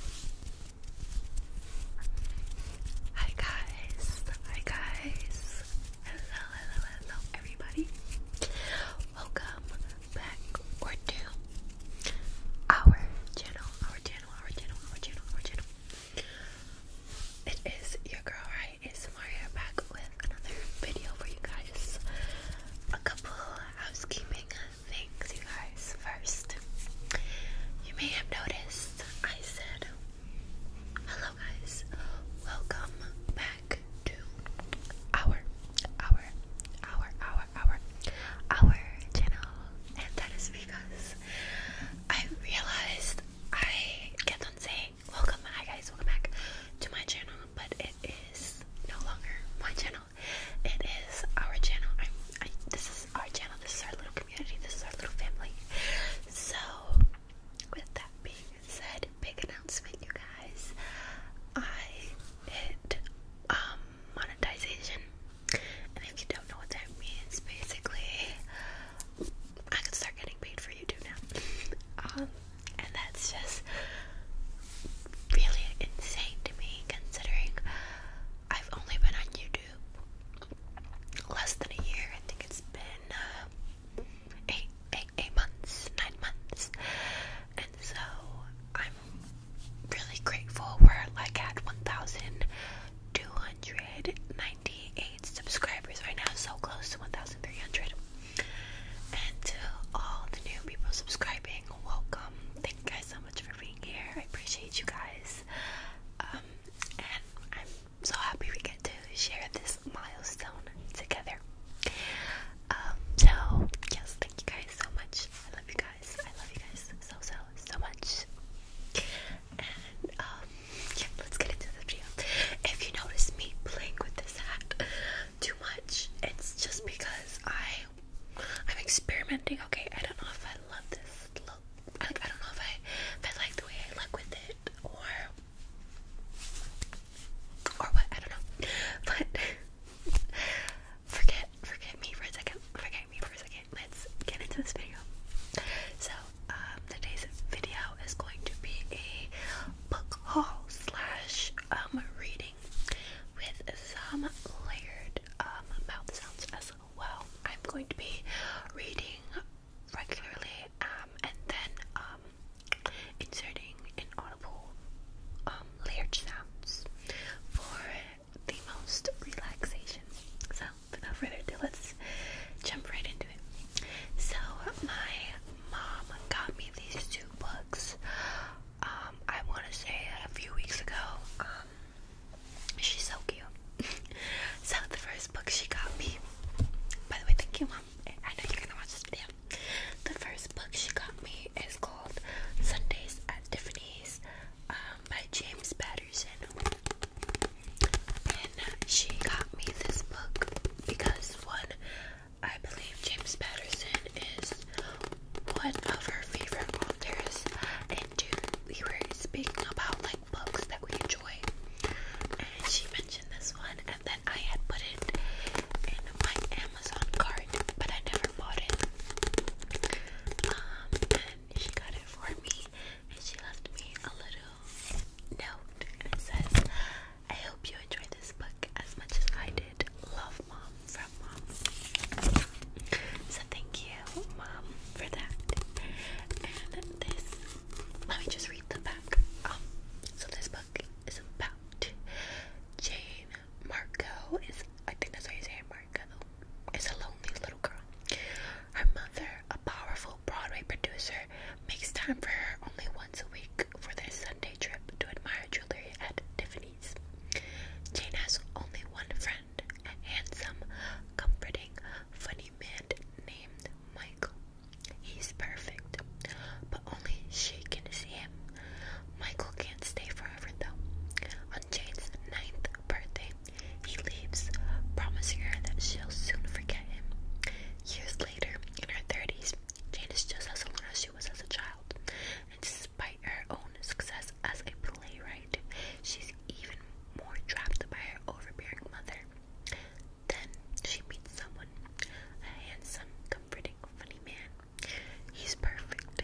Hi guys, hi guys, hello, hello, hello everybody. Welcome back to our channel, our channel, our channel, our channel, our channel. It is your girl, right? It's Maria back with another video for you guys. A couple housekeeping things, you guys. First, you may have noticed I said, Hello, guys. Welcome back to our, our, our, our, our, our channel. And that is because I realized I kept on saying, Welcome, hi guys, welcome back to my channel, but it is no longer my channel. It is our channel. this is our channel. This is our little community. This is our little family. So, with that being said, big announcement, you guys. I hit um, monetization, and if you don't know what that means, basically, I can start getting paid for YouTube now. Um, and that's just really insane to me, considering I've only been on YouTube less than a year. I think it's been uh, eight, eight, eight months, nine months, and so I'm really grateful. We're like at 1,298 subscribers right now, so close to 1,300. And to all the new people subscribing, welcome. Thank you guys so much for being here. I appreciate you guys. Um, and I'm so happy we get to share this milestone together. Um, so, yes, thank you guys so much. I love you guys. I love you guys so, so, so much. And, um, yeah, let's get into the video. If you notice me playing with this hat too much, it's just because I I'm experimenting. Okay, I don't know if I love this look. I, like, I don't know if I, if I like the way I look with it or or what. I don't know. But forget forget me for a second. Forget me for a second. Let's get into this video. So um, today's video is going to be a book haul slash um reading with some layered um, mouth sounds as well. I'm going to be reading regularly um, and then um, inserting an audible layered sounds for the most relaxation. So, without further ado, let's jump right into it. So, my mom got me these two books um, I want to say a few weeks ago, um, she's so cute. so the first book she got me, by the way, thank you, mom. I know you're gonna watch this video. The first book she got me is called Sundays at Tiffany's um, by James Patterson. And she got me this book because, one, I believe James Patterson is one of her favorite authors, and dude, we were speaking about like books that we enjoy, and she mentioned this one, and then I had put it in my Amazon cart, but I never bought it. Um, and she got it for me, and she left me a little note, and it says, "I hope you enjoy this book as much as I did. Love mom, from mom. So thank you, mom, for that. And this, let me just read the back. Um, so this book is about Jane Marco. Is I think that's how you say it, Marco. Is a lonely little girl. Her mother, a powerful Broadway producer, makes time for her only once a week for their Sunday trip to admire jewelry at Tiffany's. Jane has only one friend a handsome, comforting, funny man named Michael. He's perfect, but only she can see him. Michael can't stay forever though. On Jane's ninth birthday, he leaves, promising her that she'll soon forget him. Years later, in her 30s, Jane is just as alone as she was as a child, and despite her own success as a playwright, she's even more trapped by her overbearing mother. Then she meets someone, a handsome, comforting, funny man. He's perfect.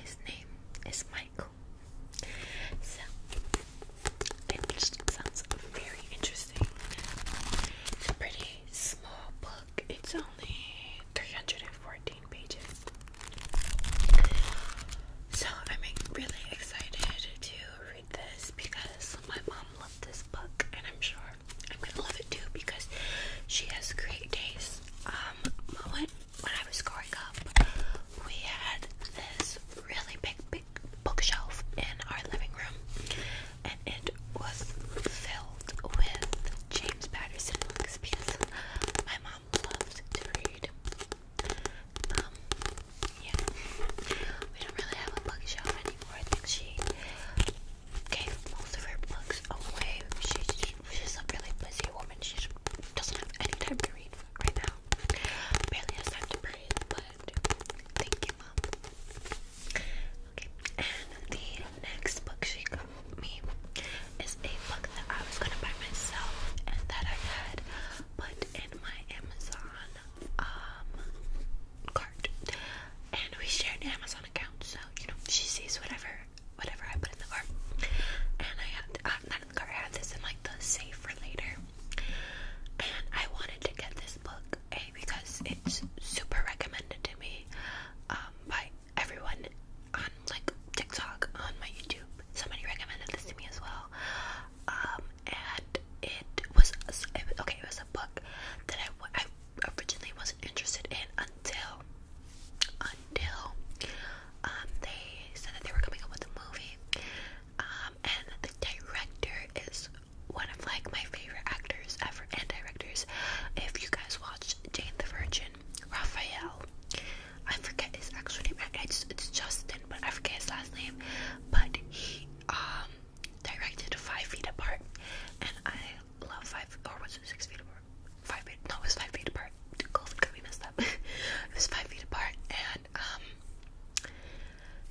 His name is Michael. So, it sounds very interesting. It's a pretty small book. It's only 314 pages. So I'm really excited to read this because my mom loved this book and I'm sure I'm gonna love it too because she has great taste. Um when when I was growing up we had this really big big bookshelf in our living room and it was filled with James Patterson books because my mom loves to read. Um, yeah. We don't really have a bookshelf anymore. I think she gave most of her books away. She's, she's a really busy woman. She doesn't have any time to read right now. Barely has time to breathe, but thank you, mom. Okay, and the next book she me is a book that I was gonna buy myself and that I had put in my Amazon um cart. And we shared an Amazon account, so you know she sees whatever whatever I put in the cart. And I had uh, cart, had this in like the safe for later. And I wanted to get this book A because it's super recommended to me um, by everyone on like TikTok on my YouTube. Somebody recommended this to me as well. Um, and it was okay. It was a book that I, I originally wasn't interested in until until um they said that they were coming up with a movie. Um, and the director is one of like my favorite actors ever and directors. If you guys watched Jane the Virgin, Raphael. I forget his actual name. I just, it's Justin, but I forget his last name. But he um, directed Five Feet Apart, and I love Five or was it Six Feet Apart? Five feet? No, it was Five Feet Apart. COVID got me messed up. it was Five Feet Apart, and um.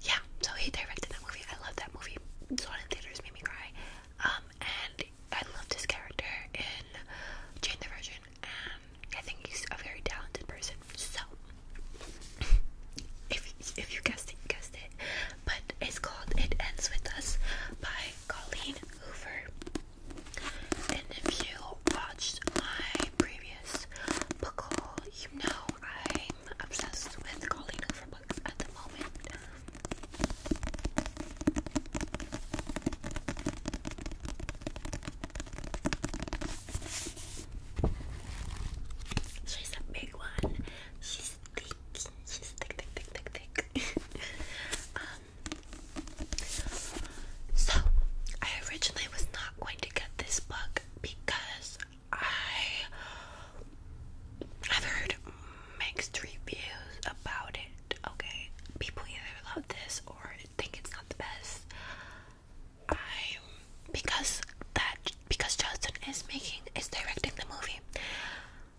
Yeah, so he directed that movie. I love that movie. Saw it in theaters, made me cry. Um, um, and I love his character in Jane the Virgin, and I think he's a very talented person. So, if if you guessed it, you guessed it. But it's called "It Ends with Us" by Colleen Hoover. And if you watched my previous book haul, you know I'm obsessed with Colleen Hoover books at the moment. She's a big one. She's thick. She's thick, thick, thick, thick, thick. um, so, I originally was not going to get this book because I have heard mixed reviews about it okay? People either love this or think it's not the best. I because that because Justin is making is directing the movie.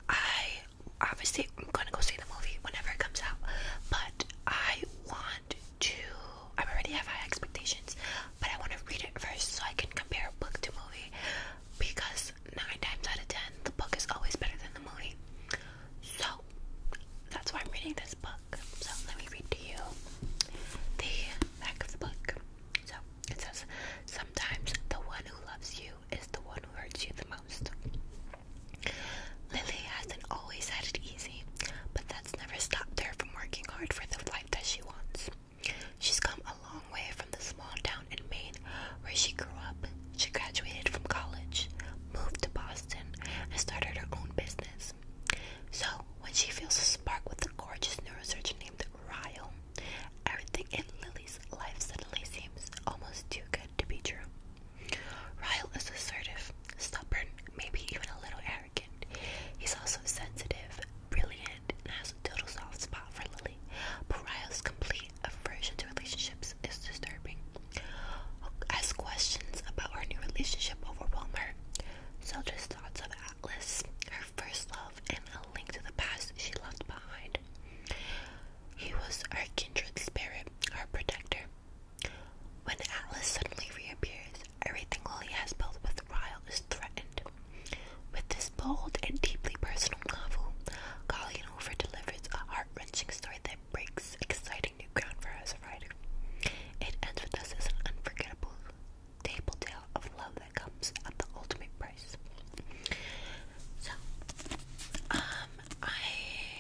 I obviously I'm gonna go see the movie whenever it comes out, but I want to. I already have high expectations, but I want to read it first so I can compare book to movie. Because nine times out of ten, the book is always better than the movie. So that's why I'm reading this book. So let me read to you the back of the book. So it says, Sometimes the one who loves you is the one who hurts you the most. Lily hasn't always had it easy, but that's never stopped her from working hard for the life that she wants. She's come a long way from the small town in Maine where she grew up. She graduated from college, moved to Boston, and started her own business. So, when she feels a spark with a gorgeous neurosurgeon named Ryle, everything in Lily's life suddenly seems almost too good to be true. Ryle is assertive, stubborn, maybe even a little arrogant. He's also sensitive, brilliant, and has a total soft spot for Lily. But Ryle's complete aversion to relationships is disturbing, as questions about her new relationship overwhelm her. Zelda's thoughts of Atlas, her first love, and a link to the past she left behind. He was her kindred spirit, her protector. When Atlas suddenly reappears, everything Lily has built with Ryle is threatened. With this bold and deeply personal novel, Colleen Hoover delivers a heart wrenching story that breaks exciting new ground for us, right? It ends with us as an unforgettable table tale of love that comes at the ultimate price. So, um, I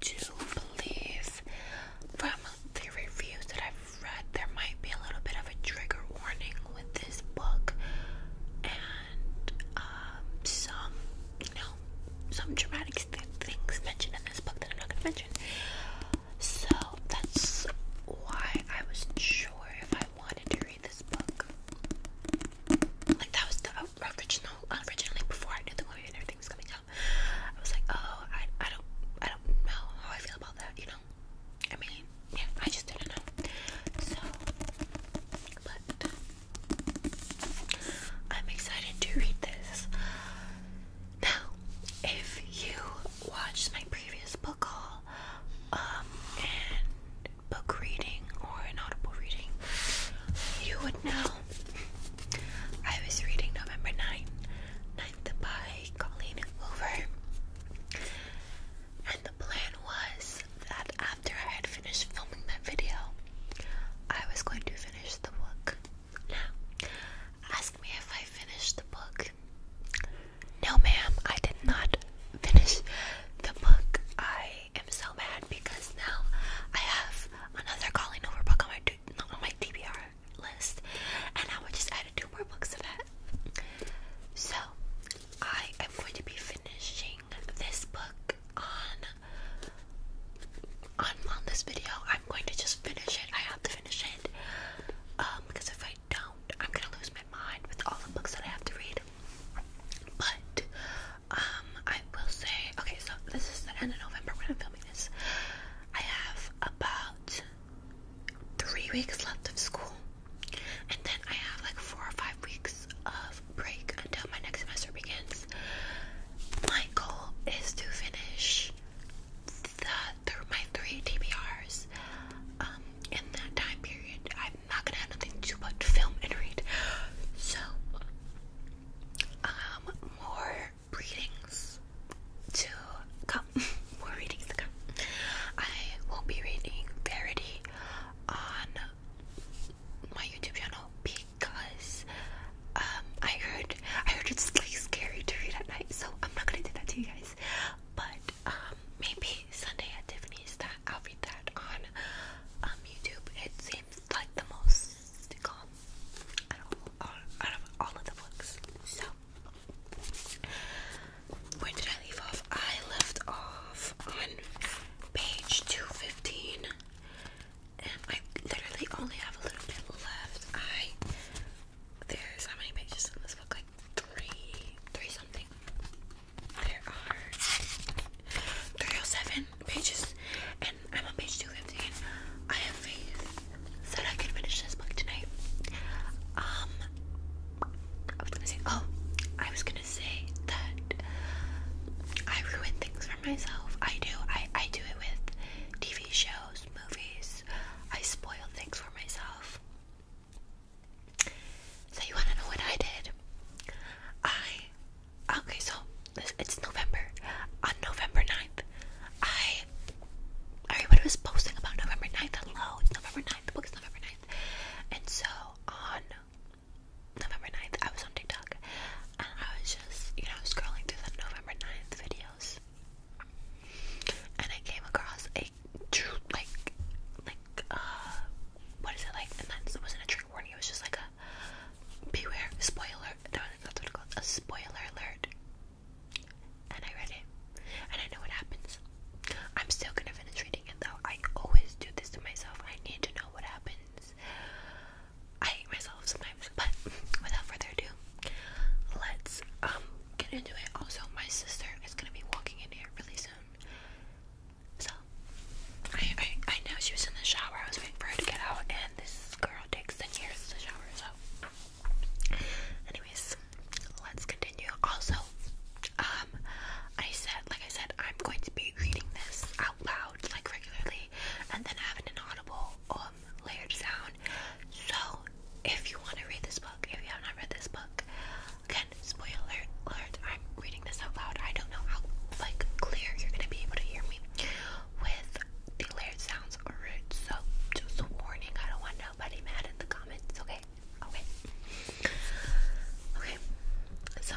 do believe from the reviews that I've read, there might be a little bit of a trigger warning with this book, and um, some, you know, some dramatic things mentioned in this book that I'm not gonna mention. So that's why I was sure if I wanted to read this book. Like that was the uh, original, originally before I knew the movie and everything was coming out. I was like, oh, I, I don't, I don't know how I feel about that, you know. I mean, I just didn't know. So, but I'm excited to read this. Now, if you watched my previous book haul, um, and book reading or an audible reading, you would know I was reading November 9th, 9th by Colleen Hoover. And the plan was that after I had finished filming that video, I was going to finish the book. Now, ask me if I finished the book. No, ma'am, I did not finish the book. I am so mad because now I have another calling over book on my on my DVR list, and I would just added two more books to that. So I am going to be finishing this book on on this video. I'm going to just finish it. I have to finish it um, because if I don't, I'm gonna lose my mind with all the books that I have to read. But um, I will say, okay, so this is the end of November when I'm filming this. I have about three weeks left of school, and then I have like four or five weeks of break until my next semester begins. My goal is to finish the my three TBRs um, in that time period. I'm not gonna have nothing to but film and read. So um more readings to come. more readings to come. I will be reading Verity on my YouTube channel because um, I heard I heard it's like scary to read at night, so I'm not gonna do that to you guys. But um, maybe Sunday at Tiffany's that I'll read that on um, YouTube. It seems like the most calm out of all, of, the books. So where did I leave off? I left off on page 215 and I literally only have a little bit left. I there's how many pages in this book? Like three three something. There are 307 pages and I'm on page 215. I have faith that I can finish this book tonight. Um I was gonna say oh I was gonna say that I ruin things for myself. I do. I, I do it with TV shows, movies. I spoil things for myself. So you wanna know what I did? I okay, so it's November. On November 9th, I everybody was posting about November 9th. Hello, it's November 9th. The book is November 9th. And so on November 9th, I was on TikTok and I was just, you know, scrolling through the November 9th videos and I came across a true, like, like, uh, what is it like? And that wasn't a trigger warning, it was just like a beware, spoiler, no, that's what it's called, a spoiler alert. And I read it and I know what happens. I'm still gonna finish reading it though. I always do this to myself. I need to know what happens. I hate myself sometimes, but without further ado, let's um, get into it. Also, my sister is gonna be walking in here really soon. So I know she was in the shower, I was waiting for her to get out, and this girl takes ten years to shower, so anyways, let's continue. Also, um, I said, like I said, I'm going to be reading this out loud, like regularly, and then have an audible um, layered sound. So, if you want to read this book, if you have not read this book, again, spoiler alert, I'm reading this out loud. I don't know how, like, clear you're going to be able to hear me with the layered sounds or roots. So, just a warning, I don't want nobody mad in the comments, okay? Okay. Okay. So,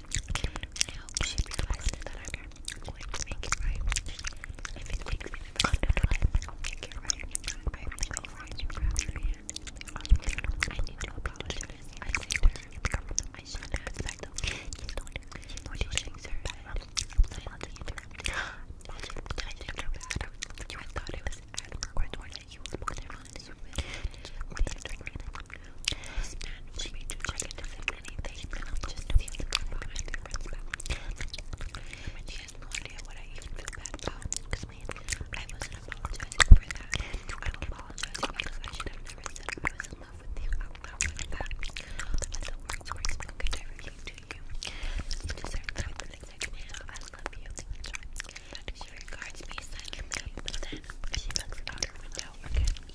attention. I hope she realizes that I'm going to make it right. If it takes me the rest of my life, I'll make it right. I really hope I can grab her hand. I need to apologize. I saved her. I shouldn't have said that. You don't. She shakes her head. Silently interrupted. I didn't know that. I thought it was admirable that you were born in this room. Please drink me. It's not for check into anything. I just feel the good about my difference and she has no idea what I even feel bad about. Because I wasn't apologizing for that. I'm apologizing because I should never said I was in love you. I would not want that. But the words were spoken directly I love you. She regards me silently, but then she looks out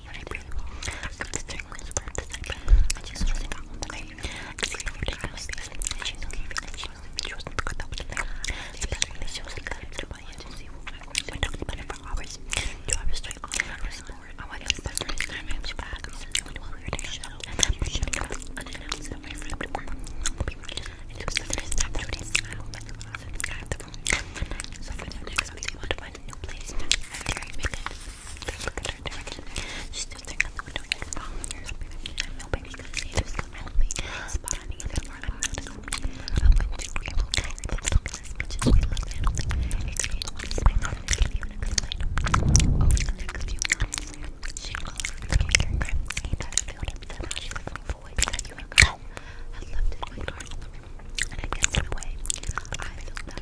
I'm just doing this for the I just want to on the name. It's so ridiculous. She was she was good at the she was We talked about it for hours. Two hours straight. I was bored. I wanted to pass this time. I was back. I was weird. I shut up. And then she was unannounced. And my friend would come. It was the first time two days. I went to the house and I had the phone. So for the next week, I want to find a new place. I'm very big. Look at her there She's still staring out the window. I know baby can see this. Help me. Spot me. I'm not I'm going to be able to just we look at It's going to be my mom is giving you a good light. Over the next few months, she will forgive your crimes. And I feel upset how she's looking for ways that you have left in my heart. And I guess in a way, I feel that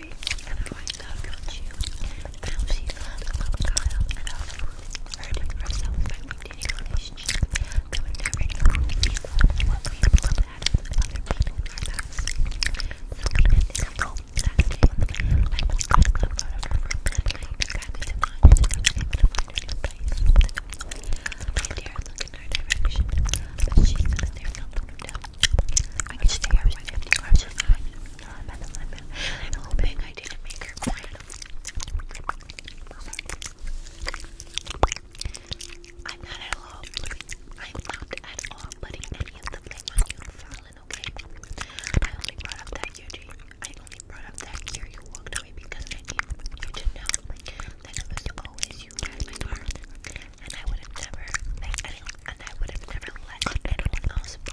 Street, I always thought about you. Now she loves Kyle, and also hurting herself by maintaining a relationship that would never equal what we both had with other people in our past. So even in the cold I was so loved out of her room that I did not just have to find a new place. I look in her direction, but she couldn't there, no, no, I could stay here for 50 hours I'm, not at all. I'm not at all putting any of the blame on you, Fallon, okay? I only brought up that year, I only brought up that year you walked away because I needed you to know that it was always you had my heart. And I would have never, and I would have never let anyone else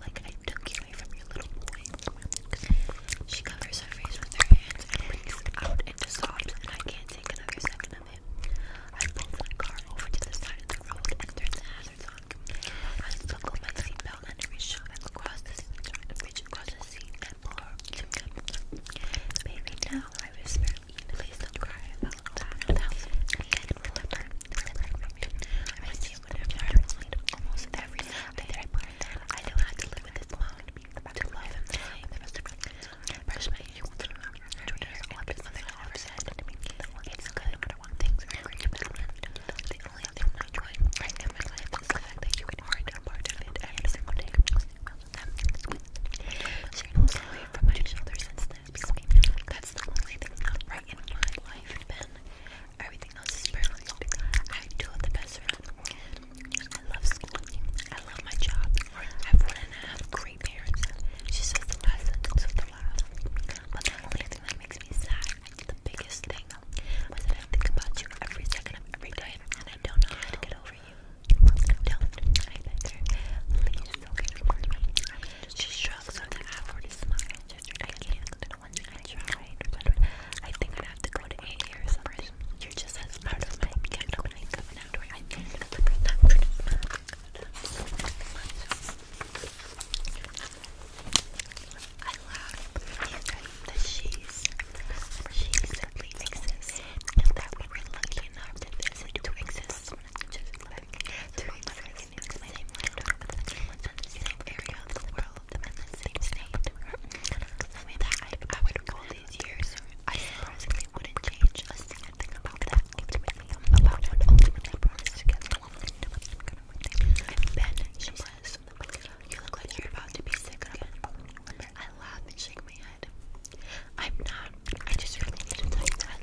like I took you away from your little boy. She covers her face with her hands and breaks out into sobs, and I can't take another second of it. I pull my car over to the side of the road and turn the hazards on. I buckle my seatbelt and reach across the reach across the seat and pull Baby, now I whisper, please don't cry about that. And then remember, I see it whenever I read almost every that I put I know how to live with this long to love and the same. of my personally, you want to know. Twitter is all about something I never said. It's good, but I want things are great about me. The only thing I enjoy right now in my life the fact that you can find a part of every single day. I've from my shoulder since then. That's the only thing not right in my life, Ben. Everything else is perfect. I do the best for them. I love school. I love my job. I have one and a half great parents. She says the last sentence with the laugh. But the only thing that makes me sad, the biggest thing, was that I think about you every second of every day, and I don't know how to get over you. Don't. I beg her. Please, okay. I she shrugs with an outward smile. Just I can't. I tried, I think i have to go to AA or You're just as part of my I think that's she's, she simply exists, and that we were lucky enough to, to exist, just like, to exist, the same laptop, in the same area of the world, the same state. Something that I, would all these years, I surprisingly wouldn't change a thing about that. Ultimately, about what ultimately brought us together. And then she says, "You look like you're about to be sick again." I laugh and shake my head. I'm not. I just really need to tell that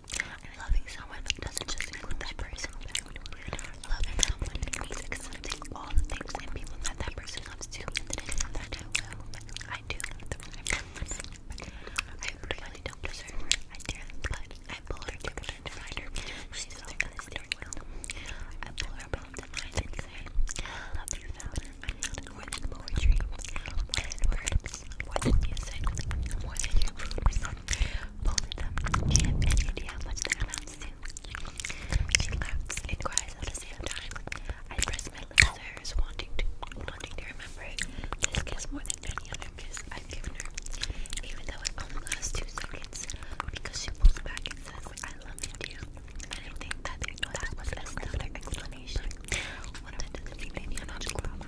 And loving someone doesn't just include that person. Loving someone means accepting all the things and people that that person loves too. And the things that I will, I do. I really don't deserve her. I tear the blood. I pull her to her to find her. She's so devastating. I pull her above the mind and say, Love you, Fallon. More than poetry, more than words, more than music, more than your moves. Both them. She had how much their amounts to. She laughs and cries at the same time. I press my lips to hers, wanting to, wanting to remember this kiss more than any other kiss I've given her, even though it only lasts two seconds, because she pulls back and says, I love you I And not think that, that was another explanation. What did the female not just love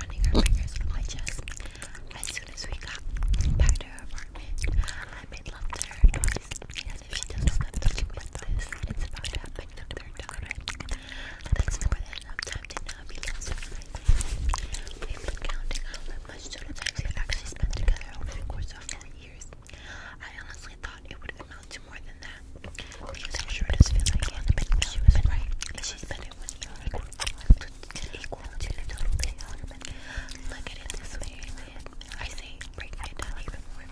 running her fingers through my chest. As soon as we got back to her apartment, I made love to her twice. Because if she doesn't have to with this, it's about to happen the third time. That's more than enough time to not We've been counting how much total time we've actually spent together over the course of four years. I honestly thought it would have I sure not equal to the total day Look at it this way, I say breaking it more.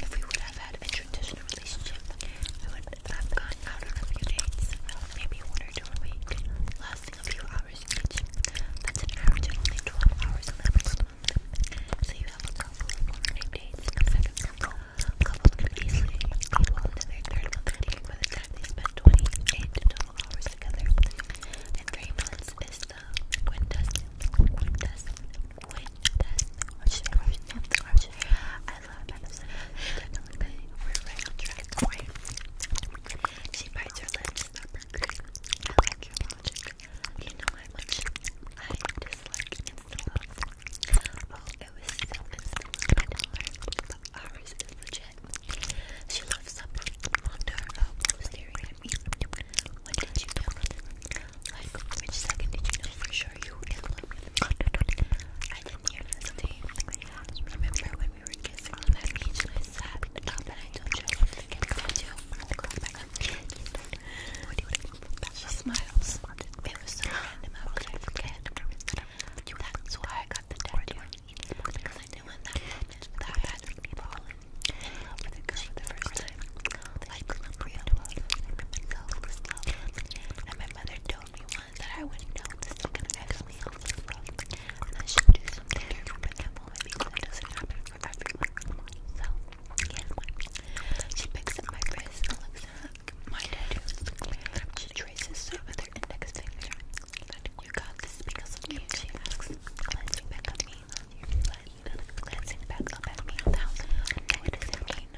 If we would have had a traditional relationship, we would have gone out on a few dates, maybe one or two a week, lasting a few hours each. That's an average of only 12 hours in the So you have a couple of one dates, Couples can easily lead well into their third month dating by the time they spend 28 total hours together. And three months is the quintessence, quintessence, quintessence. Russian, I love medicine. We're right on track. She bites her lips. Stop her. I You know how much I dislike instant love. Oh, it was so expensive. I but ours is legit. She loves up on her uh, staring at me. When did you know? Like, which did you know for sure you were in love with me? I didn't hear this name. Remember when we were kissing on beach I sat up and I told you I wanted to get a do you want she smiles. It was so random. I was like, forget. That's why I got the tattoo. Because I knew in that I had fallen in love for the first time. Like, real love. Selfless And my mother told me once that I wouldn't know this is going to actually help I should do something that moment because does happen for everyone. So, She picks up my wrist and looks at my tattoos. She traces over their index finger. You got this because of me, she asks, glancing back me. Glancing back up at me. What does it mean?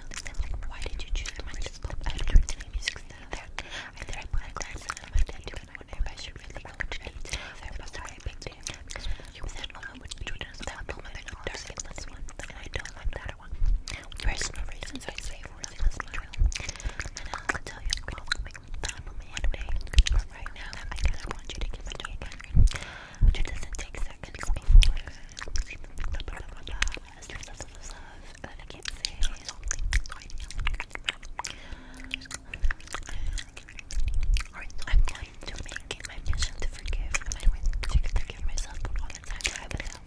Why did you choose my pop attitude in music style? I think I put a glance at my tattoo and wonder if I should really go to date. There was a big deal. Because you said, oh, I would be doing a style, but then dark and this one. And I don't like that better one. Personal reasons, i say forcing was true. I'll tell you, I'm on my hand right now, I kind want you to give me again. Which it not take seconds before. As there's lots of love that I can't say. So I Alright, so I'm trying to make my mission to forgive. I'm trying to forgive myself all the time. I will help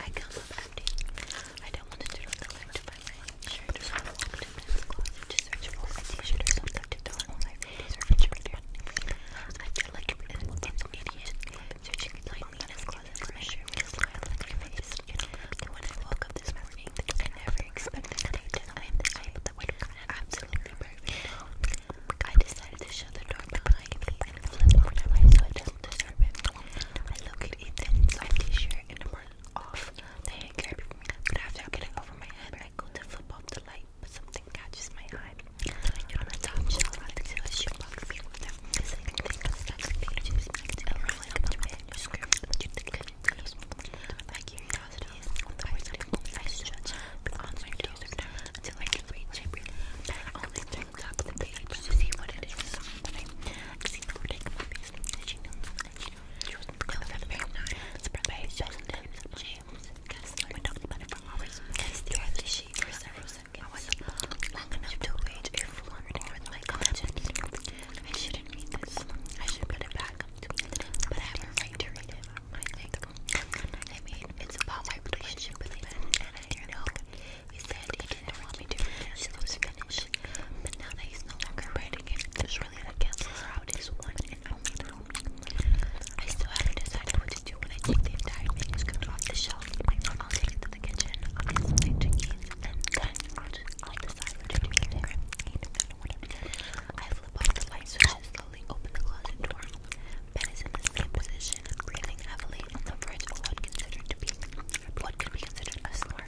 I don't want to do the link to buy my shirt, in this closet to search for a t-shirt or something to throw on my ladies' refrigerator. I feel an idiot searching my ladies' closet for a shirt with a smile on my face. And when I woke up this morning, I never expected that I did. I am the type that would come absolutely perfect. I decided to shut the door behind me and flip overnight so it doesn't disturb it. I look at it then, t-shirt and I'm off the hand care But after I get it over my head, I go to flip off the light, but something catches my eye. And on the top shelf, I can a shoebox people with them. It's like a thing that's like pages, it's around like a manuscript, but you think it is. My curiosity the words of the moment I judge, I can reach it. I only things up the page to see what it is. I see her taking my face. Did she know? She, she wasn't going to the page. It's the page. James. the other she for several seconds. I wasn't long enough to wait if wondering I shouldn't read this. I should put it back. I have a right to read it. I mean, it's about my relationship with him, and I know he said he didn't want me to pronounce those Finnish, but now that he's no longer writing it, there's really that cancels out his one and only. I still haven't decided what to do when I take the entire manuscript off the shelf. I'll take it to the kitchen, I'll get some and then decide what to do with it. I flip off the light switches, slowly open the closet door. Ben is in the same position exhaustion and breathing heavily in the bridge what could be considered a snore.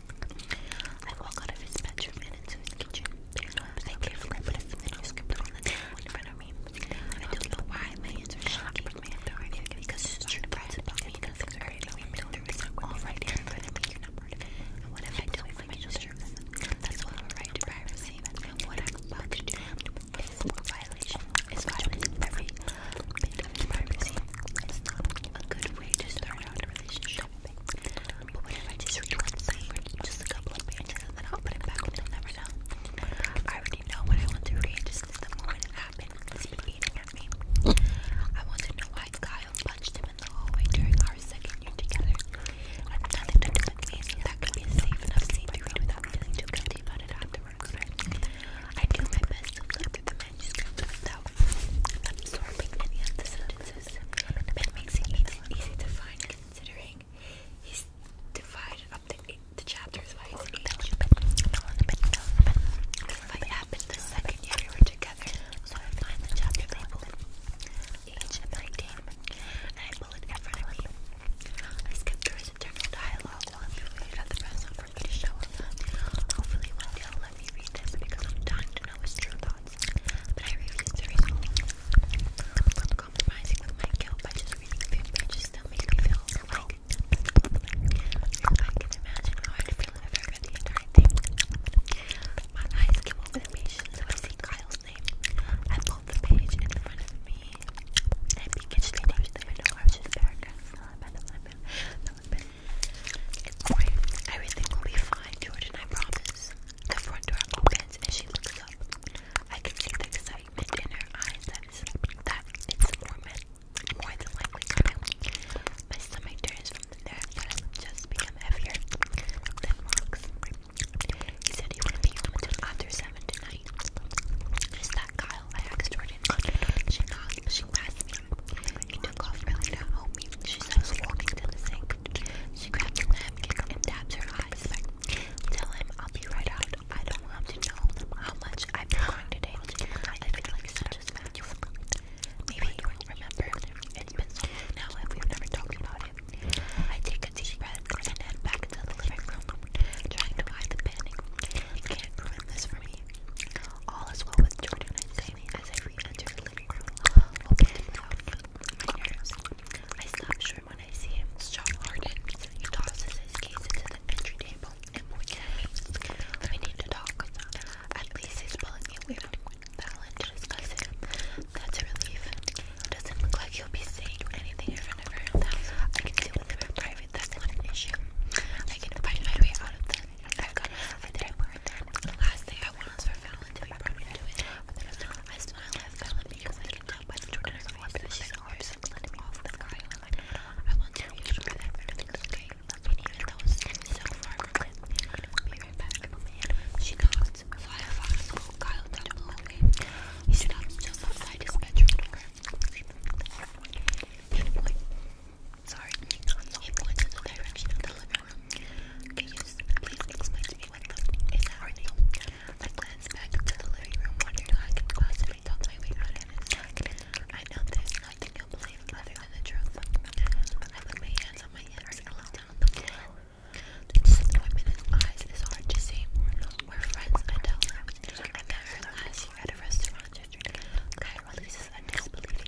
I walk out of his bedroom and into his kitchen. I carefully put a manuscript on the table in front of me. I don't know why my hands are shocking. My hand over it because it's true pride about me that things are creating me build through this all right here in front of me. You're not part of it. And what if I do it for my children? That's all right to privacy. What I'm about to do, I'm is violation, is privacy. It's not a good way to start out a relationship. But what if I just read one just a couple pages, and then I'll put it back and never know? I already know what I want to read just since the happened. It's been eating I want to know why Kyle punched him in the hallway during our second year together. nothing to do with me, that could be a safe enough scene without feeling too guilty about it after. I do my best to look through the manuscript without absorbing any of the sentences. That makes it easy to find considering he's divided up the, chapters by age. This happened the second year we were together, so I find the chapter labeled age 19 and I pull it in front me. I skip through his internal dialogue while I'm the rest probably gonna show up. Hopefully one day let me read this because I'm dying to know his true thoughts. But I refuse to read I'm compromising with my guilt by just reading a few pages that make me feel I can imagine how I'd feel if I read the entire thing. My eyes came over the page, so I see Kyle's name. I pulled the page in front of me Everything will be fine, Jordan, I promise. The front door opens and she looks up. I can see the excitement in her eyes that it's, more, men, more than likely coming. My stomach turns from the nerves just become heavier He said he would be home after 7 tonight. Kyle I asked Jordan. She knocked, she passed me. He took off running She was walking to the sink. She grabbed a napkin and tapped her eyes Tell him I'll be right out. I don't want to know how much I've been today. I feel like such a spectacle. Maybe you don't remember. It's been now and we never talked about it. I take a deep breath and head back to the living room, trying to hide the panic. Can't ruin this for me. All is well with Jordan and Jamie as I re enter the living room, opening without I stop short when I see him strong hearted. He tosses his keys into the entry table We need to talk. At least he's pulling me away from Fallon to That's a relief. Doesn't look like he'll be saying anything in front I can deal with him in private of it, that's not an issue. I can find my way out of that. I've got enough I wear The last thing I want is for Fallon to be brought into it. I smile at Fallon because I can tell by the tone in her voice that she's always letting me off the guy. I want to reassure that everything's okay. And even though it's so far be right back. She nods. Fly a fox. Kyle down the hallway. He stops just outside his bedroom door. You point. Sorry, you point in the direction of the living room. Can you please explain to me what happening? I glance back into the living room, wondering how I can possibly talk my way out of this. I know there's nothing you'll believe other than the truth. I put my hands my hips and look down the floor. The disappointment in eyes is hard to see. We're friends, I I met her at a restaurant yesterday. God a disbelieving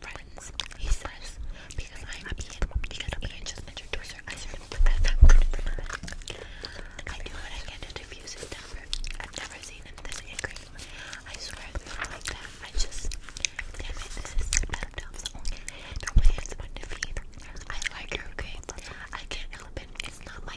friends, he says, because I'm Ian, because Ian just entered to a circus. I started to that down I do what I can to diffuse his temper. I've never seen him this angry. I swear it's not like that. I just, damn it, this is Pentadoms. Okay, don't play hands my defeat. I like her, okay? I can't help it. It's not my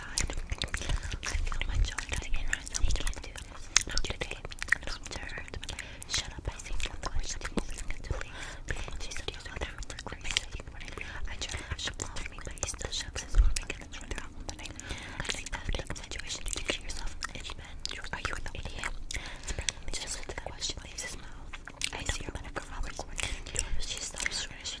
god. I feel my jaw again right now. I can't do this. Not today. I'm disturbed. Shut up. I say something. I should do something. She said you don't have to crazy. I try to shut down me, but he still shuts his mouth again. It's one problem tonight. I think that in situation you to yourself in bed. Are you an idiot? Just let the question leaves his mouth. I see her, but I can probably. She stops. She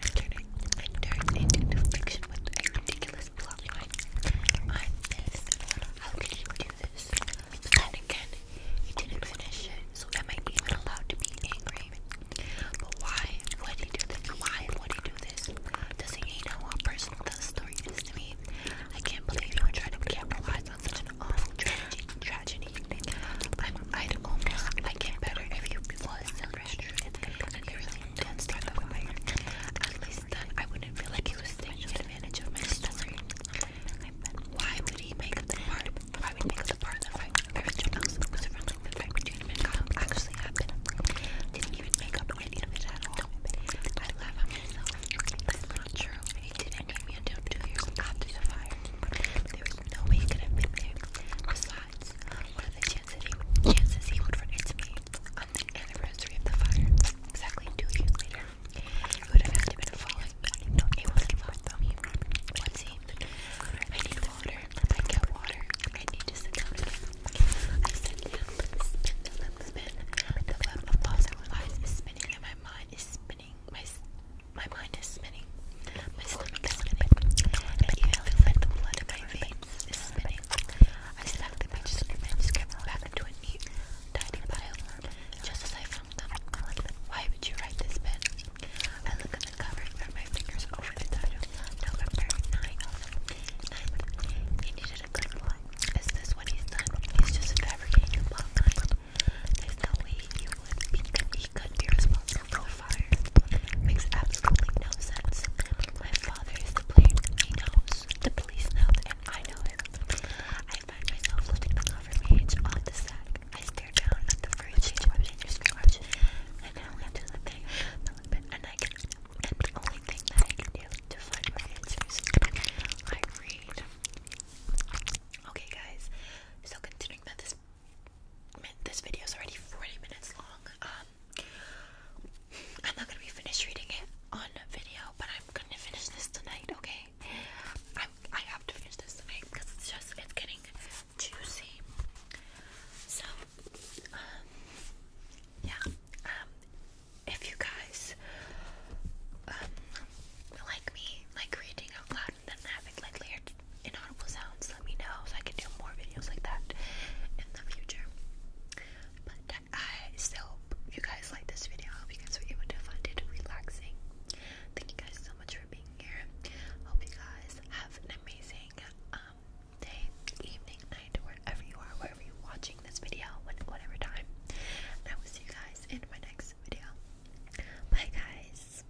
turning and turns into fiction with a ridiculous plot i How could you do this? again, he didn't finish it, so i am I even allowed to be angry? But why would he do this? Why would he do this? Doesn't he know what personal the story is to me? I can't believe you would try to capitalize on such an awful tragedy. tragedy. I'm, I'd almost like better if you was I wouldn't feel like he was taking advantage of my story. Why would he make up the part? Why would he make up the part that I Mr. Nelson was friendly with Frank Jane McConnell actually happened? Didn't even make up any of it at all. I laugh That's not true. He did interview me until two years after the fire. There was no way he could have been there. Besides, one of the chances chances he would run into me on the anniversary of the fire, exactly two years later. It would have had to been a falling, but no, wasn't falling though. Let's see. I need water. I get water. I need to sit down again. I sit down, spin the spin. The web of thoughts and is spinning, and my mind is spinning. My my mind is spinning. I even feel the blood in my veins is spinning. I the pages just kept back into a neat, tidy pile. Just as I found them. Why would you write this, Ben? I look at the cover and run my fingers over the title. November 9th. 9th. He needed a good plot. Is this what he's done? He's just fabricating a plot line. There's no way he would be, he could be responsible. Makes absolutely no sense. My father is the player. He knows. The police know, and I know it. I find myself lifting the cover page off the sack. I stare down at the first page of your scratch. I now have to and I can. And the only thing that I can do to find my answers, I read. Okay, guys. So considering that this this video is already 40 minutes long. Um, I'm not gonna be finished reading it on video, but I'm gonna finish this tonight. Okay, i have to finish this tonight because it's just it's getting juicy. So, um, yeah. Um, if you guys like me, like reading out loud that having like layered inaudible sounds, let me know so I can do more videos like that in the future. But I hope you guys like this video. I hope you guys were able to find it relaxing. Thank you guys so much for being here. Hope you guys have an amazing um, day, evening, night, wherever you are, wherever you're watching this video, whatever time. And I will see you guys in my next video. Bye, guys.